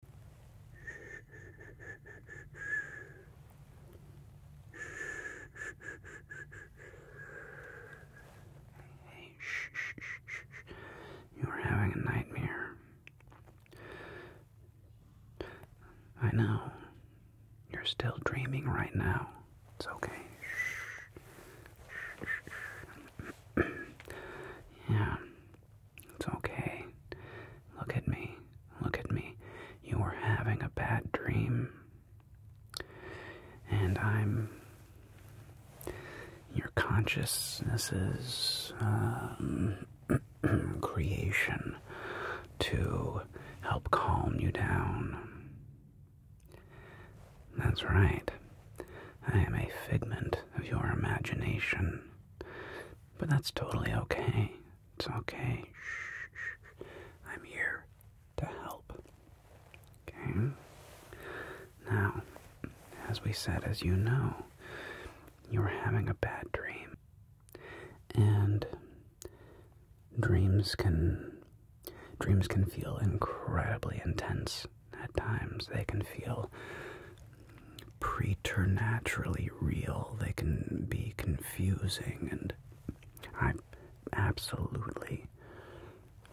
Hey, shh, shh, shh, You are having a nightmare. I know. You're still dreaming right now. It's okay. yeah, it's okay. Look at me. Look at me. You are having a bad dream. And I'm. Your consciousness is um, creation to help calm you down. That's right. I am a figment of your imagination. But that's totally okay. It's okay. I'm here to help. Okay? Now, as we said, as you know, you are having a bad dream. And dreams can dreams can feel incredibly intense at times. They can feel preternaturally real. They can be confusing, and i am absolutely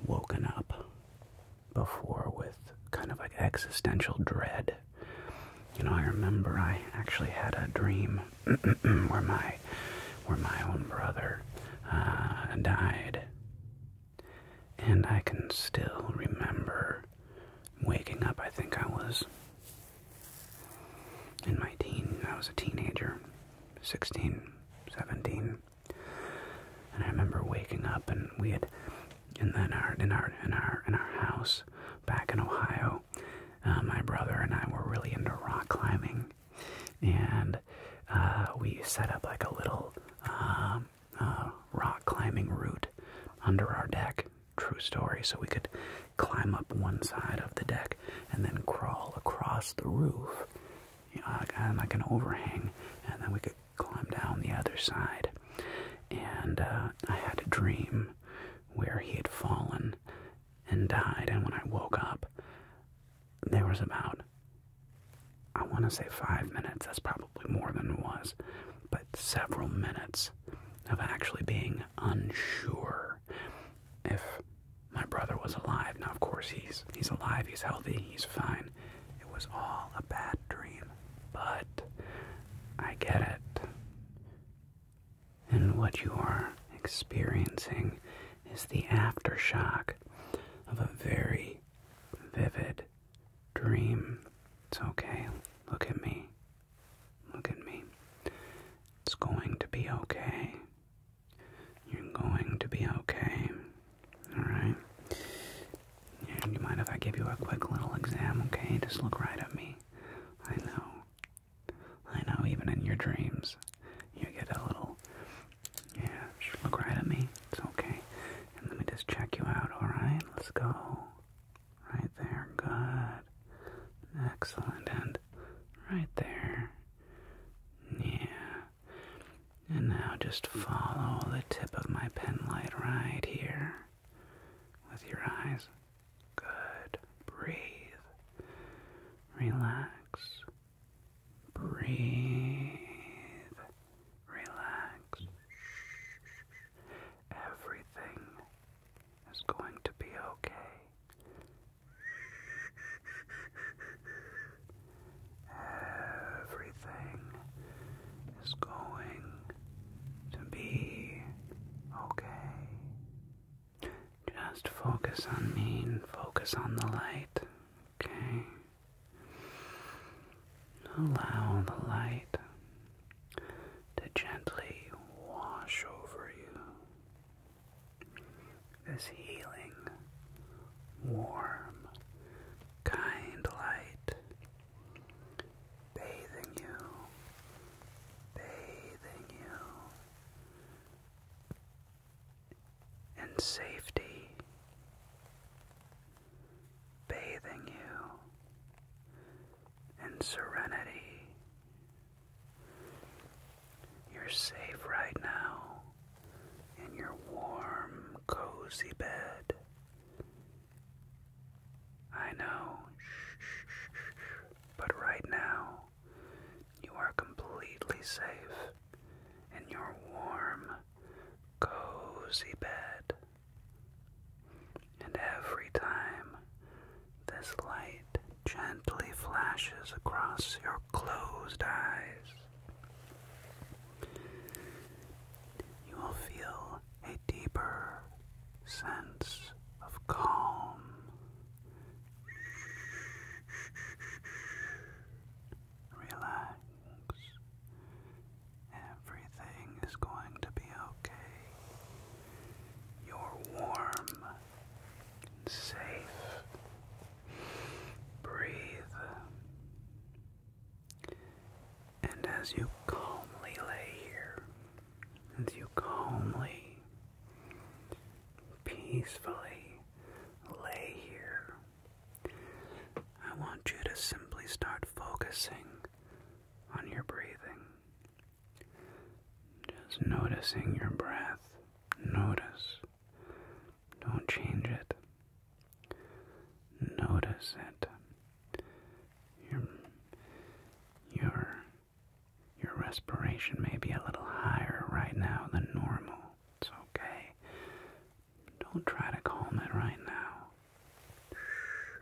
woken up before with kind of like existential dread. You know, I remember I actually had a dream where my where my own brother uh, died, and I can still remember waking up, I think I was in my teen, I was a teenager, 16, 17. And I remember waking up and we had in then our in our in our in our house back in Ohio, uh, my brother and I were really into rock climbing, and uh, we set up like a little um, uh, rock climbing route under our deck. True story. So we could climb up one side of the deck and then crawl across the roof, you uh, like an overhang, and then we could climb down the other side. And uh, I had a dream where he had fallen and died. And when I woke up, there was about, I want to say five minutes, that's probably more than it was, but several minutes of actually being unsure if my brother was alive. Now, of course, he's he's alive, he's healthy, he's fine. It was all a bad dream, but I get it. And what you are experiencing is the aftershock of a very vivid dream. It's okay. Look at me. Look at me. It's going to be okay. You're going to be okay. Alright? And you mind if I give you a quick little exam, okay? Just look right at me. I know. I know, even in your dreams, you get a little. Yeah, look right at me. It's okay. let me just check you out, alright? Let's go. Right there, good. Excellent, and right there. Yeah. And now just follow the tip of my pen light right here with your eyes. Good. Breathe. Relax. Breathe relax. Everything is going to be okay. Everything is going to be okay. Just focus on me focus on the light, okay? Allow the light to gently wash over you. This healing, warm, kind light bathing you, bathing you in safety bathing you in serenity. You're safe right now in your warm, cozy bed. I know, but right now you are completely safe in your warm, cozy bed. And every time this light gently flashes across your closed eyes, you will feel a deeper sense of calm. Relax Everything is going to be okay. You're warm and safe. Breathe. And as you calmly lay here, as you calmly, peacefully lay here I want you to simply start focusing on your breathing. Just noticing your breath. Notice. Don't change it. Notice it. Your, your, your respiration may be a little higher right now than normal. It's okay. Don't try to calm it right now.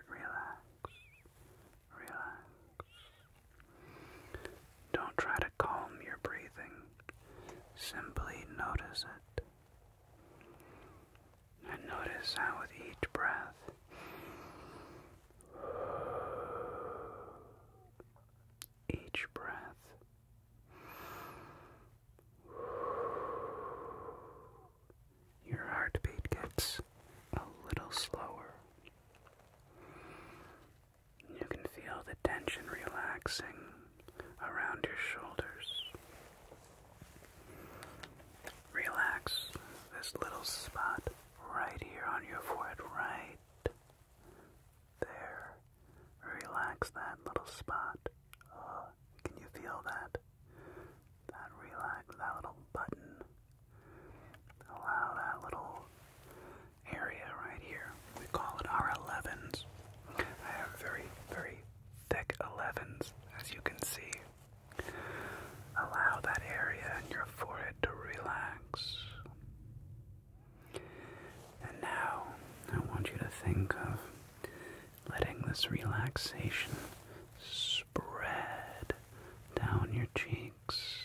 relax. Relax. Don't try to calm your breathing. Simply notice it. And notice how with each breath each breath your heartbeat gets a little slower. You can feel the tension relaxing around your shoulders. Relax this little spot right here on your forehead, right there. Relax that little spot can you feel that? That relax, that little button. Allow that little area right here. We call it our 11s. I have very, very thick 11s, as you can see. Allow that area in your forehead to relax. And now I want you to think of letting this relaxation spread down your cheeks.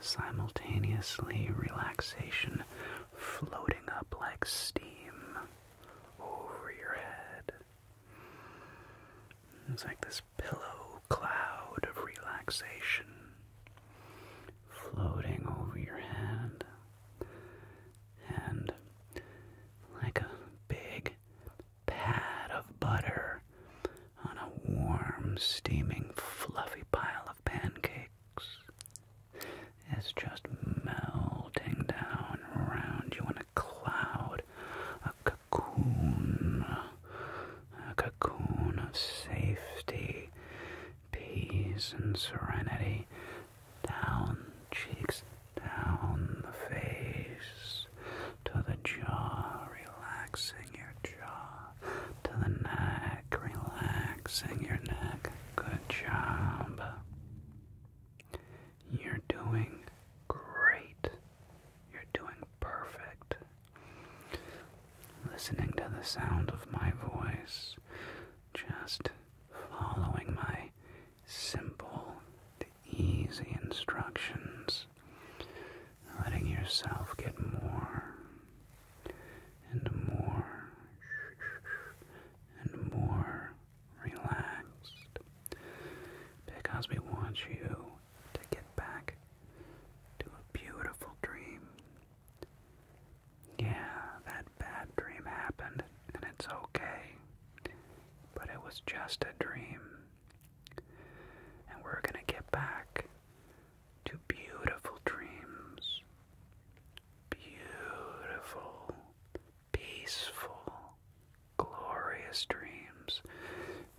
Simultaneously, relaxation floating up like steam over your head. It's like this pillow cloud of relaxation floating over your head and like a big pad of butter on a warm, steaming, fluffy pile of pancakes is just melting down around you in a cloud, a cocoon, a cocoon of safety, peace, and serenity down cheeks, down the face, to the jaw, relaxing your jaw, to the neck, relaxing your neck. Good job. You're doing great. You're doing perfect. Listening to the sound of my voice, just following my simple to easy instructions, letting yourself get more and more and more relaxed because we want you to get back to a beautiful dream. Yeah, that bad dream happened, and it's okay. But it was just a dream. And we're gonna get back to beautiful dreams. Beautiful, peaceful, glorious dreams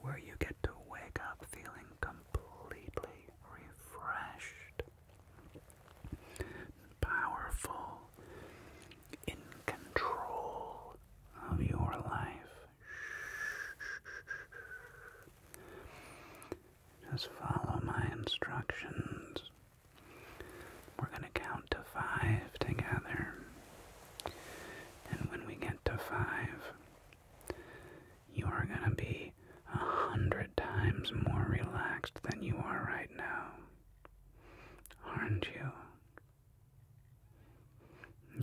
where you get to wake up feeling completely refreshed powerful, in control of your life. Just follow my instructions. We're going to count to five together. And when we get to five, you are going to be a hundred times more relaxed than you are right now aren't you?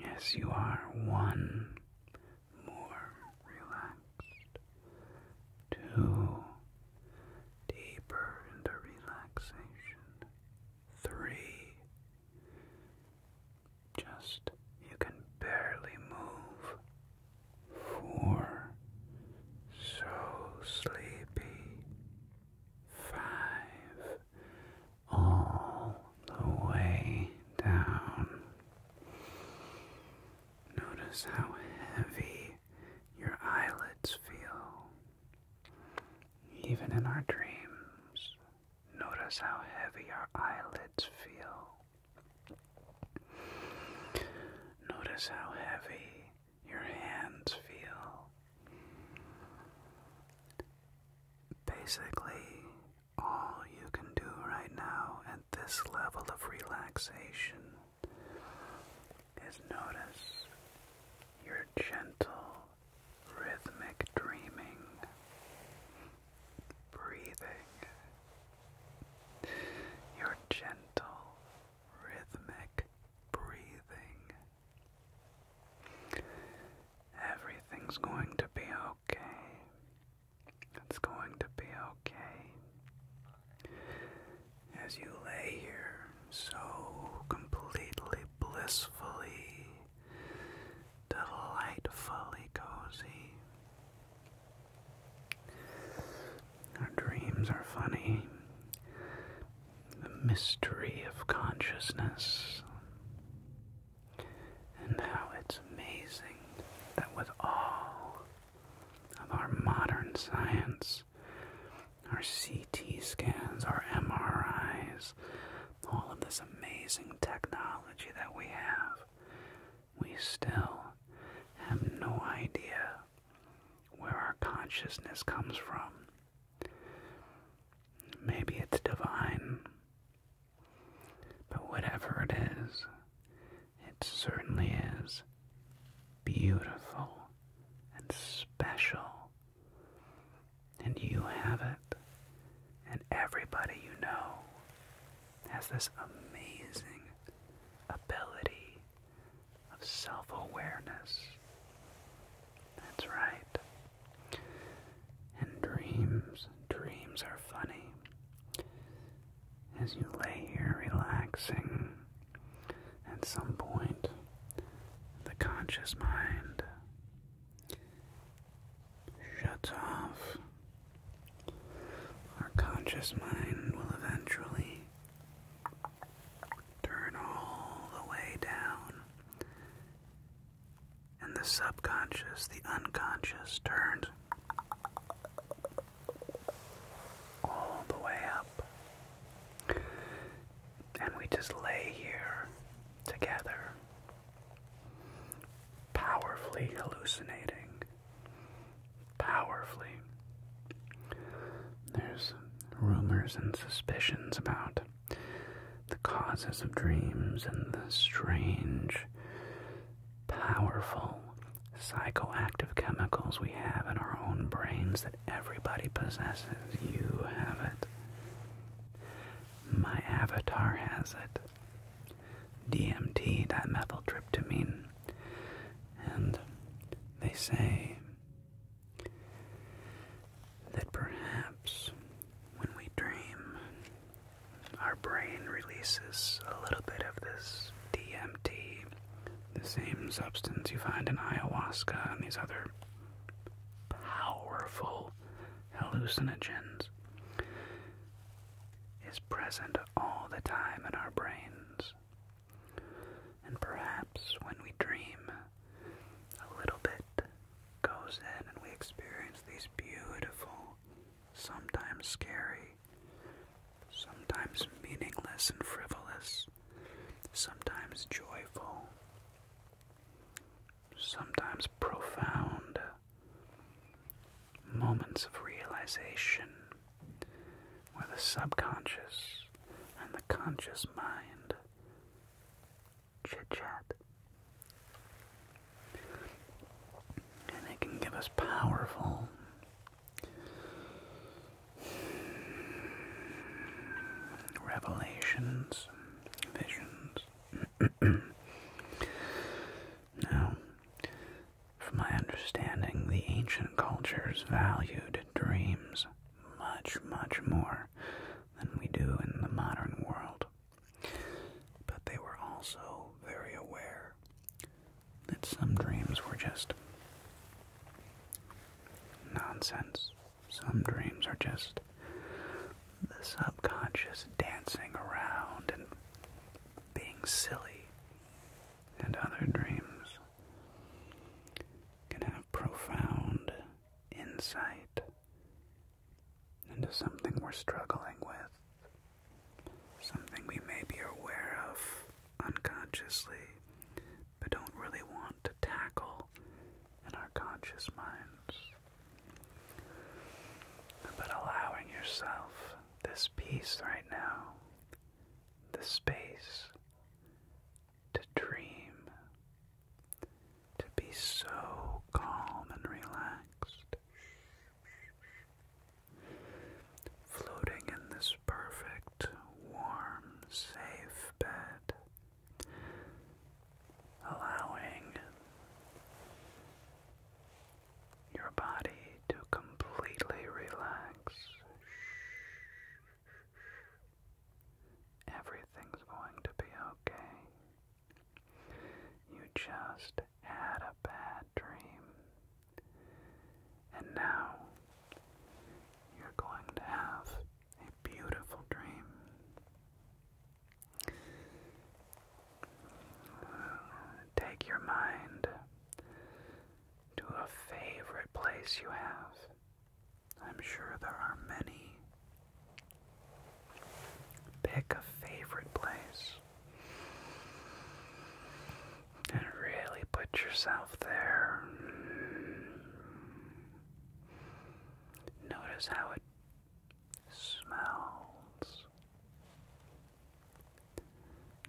Yes, you are one more relaxed, two deeper into relaxation, three just you can barely move four, so sleepy, five, all the way down. Notice how heavy your eyelids feel. Even in our dreams, notice how heavy our eyelids feel. Notice how heavy your hands feel. Basically, all you can do right now at this level of relaxation is notice your gentle, rhythmic dreaming, breathing, your gentle, rhythmic breathing. Everything's going to be okay. It's going to be okay. As you lay here so completely blissfully, delightfully cozy, our dreams are funny. The mystery of consciousness. And how it's amazing that with all of our modern science, our CT scans, our MRIs, all of this amazing technology that we have, we still have no idea where our consciousness comes from. Maybe it's divine, but whatever it is, it certainly is beautiful and special. And you have it, and everybody you know has this amazing ability of self awareness. That's right. And dreams, dreams are funny. As you lay here relaxing, at some point, the conscious mind shuts off. Our conscious mind will eventually Turn all the way down. And the subconscious, the unconscious, turned all the way up. And we just lay here together, powerfully hallucinating powerfully. There's rumors and suspicions about the causes of dreams and the strange, powerful psychoactive chemicals we have in our own brains that everybody possesses. You have it. My avatar has it. DMT, dimethyltryptamine. And they say that perhaps when we dream, our brain releases a little bit of this DMT, the same substance you find in ayahuasca and these other powerful hallucinogens, is present all the time in our brains. And perhaps when we dream, a little bit goes in and we experience these beautiful, sometimes scary, sometimes meaningless and frivolous, sometimes joyful, sometimes profound moments of realization where the subconscious and the conscious mind chit chat. And it can give us powerful revelations, visions. now, from my understanding, the ancient cultures valued dreams much, much more than we do in the modern world. But they were also very aware that some dreams were just nonsense. Some dreams are just the subconscious dancing around and being silly and other dreams can have profound insight into something we're struggling with, something we may be aware of unconsciously but don't really want to tackle in our conscious minds. But allowing yourself this peace right now the space to dream, to be so calm and relaxed, floating in this perfect, warm, safe bed. Allowing your body to completely relax. Everything's going to be okay. You just had a bad dream. And now you're going to have a beautiful dream. Take your mind to a favorite place you have. I'm sure there are many. Pick a favorite place and really put yourself there. Notice how it smells.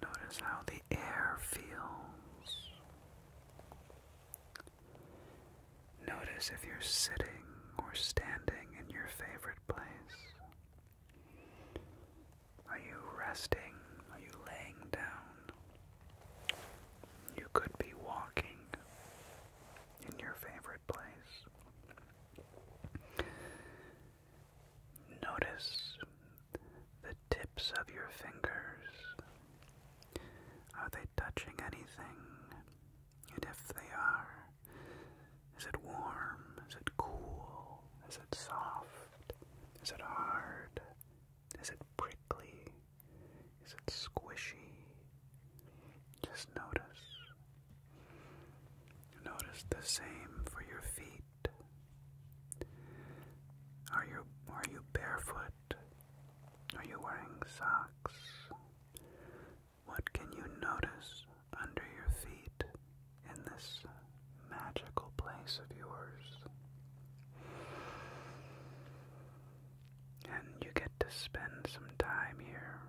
Notice how the air feels. Notice if you're sitting or standing in your favorite place. Are you resting? Are you laying down? You could be walking in your favorite place. Notice the tips of your fingers. Are they touching anything? And if they are, is it warm? Is it cool? Is it soft? Is it hard? Is it prickly? Is it squishy? Just notice. Notice the same for your feet. Are you are you barefoot? Are you wearing socks? What can you notice under your feet in this magical place of yours? And you get to spend some time here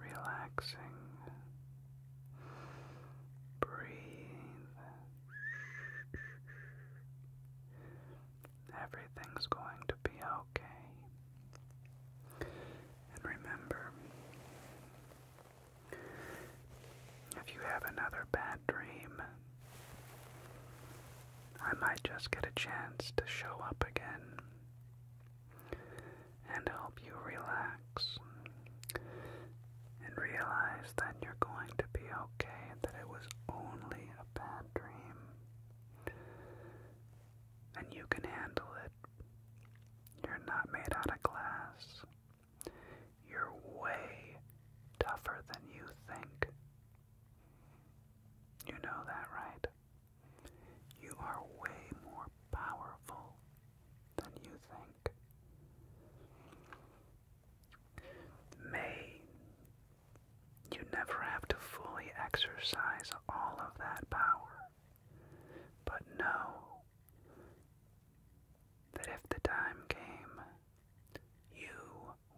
relaxing, Breathe. Everything's going to be okay. And remember, if you have another bad dream, I might just get a chance to show up again and help you relax and realize that you're going to be okay that it was only a bad dream. And you can handle it. You're not made out of glass. You're way tougher than you think. You know that, right? You are way more powerful than you think. May you never have to fully exercise all of that power, but know that if the time came, you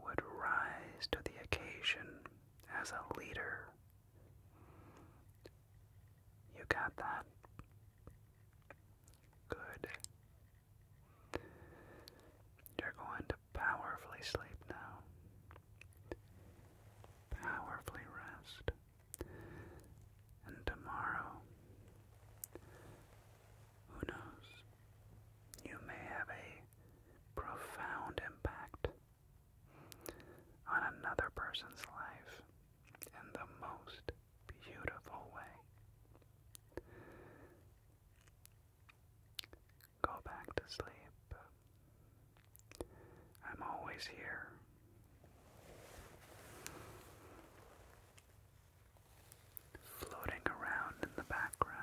would rise to the occasion as a leader. You got that? Good. You're going to powerfully sleep now. Powerfully rest. And tomorrow, who knows, you may have a profound impact on another person's life and the most beautiful way. Go back to sleep. I'm always here. Floating around in the background.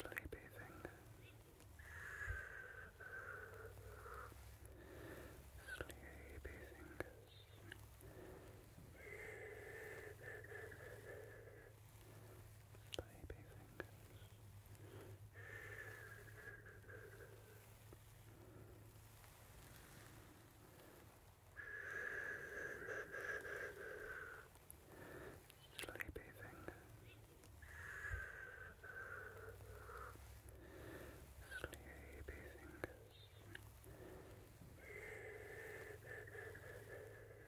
Sleepy fingers. Sleepy fingers. Sleepy fingers. Sleepy fingers. Sleepy fingers. Sleepy fingers. Sleepy fingers.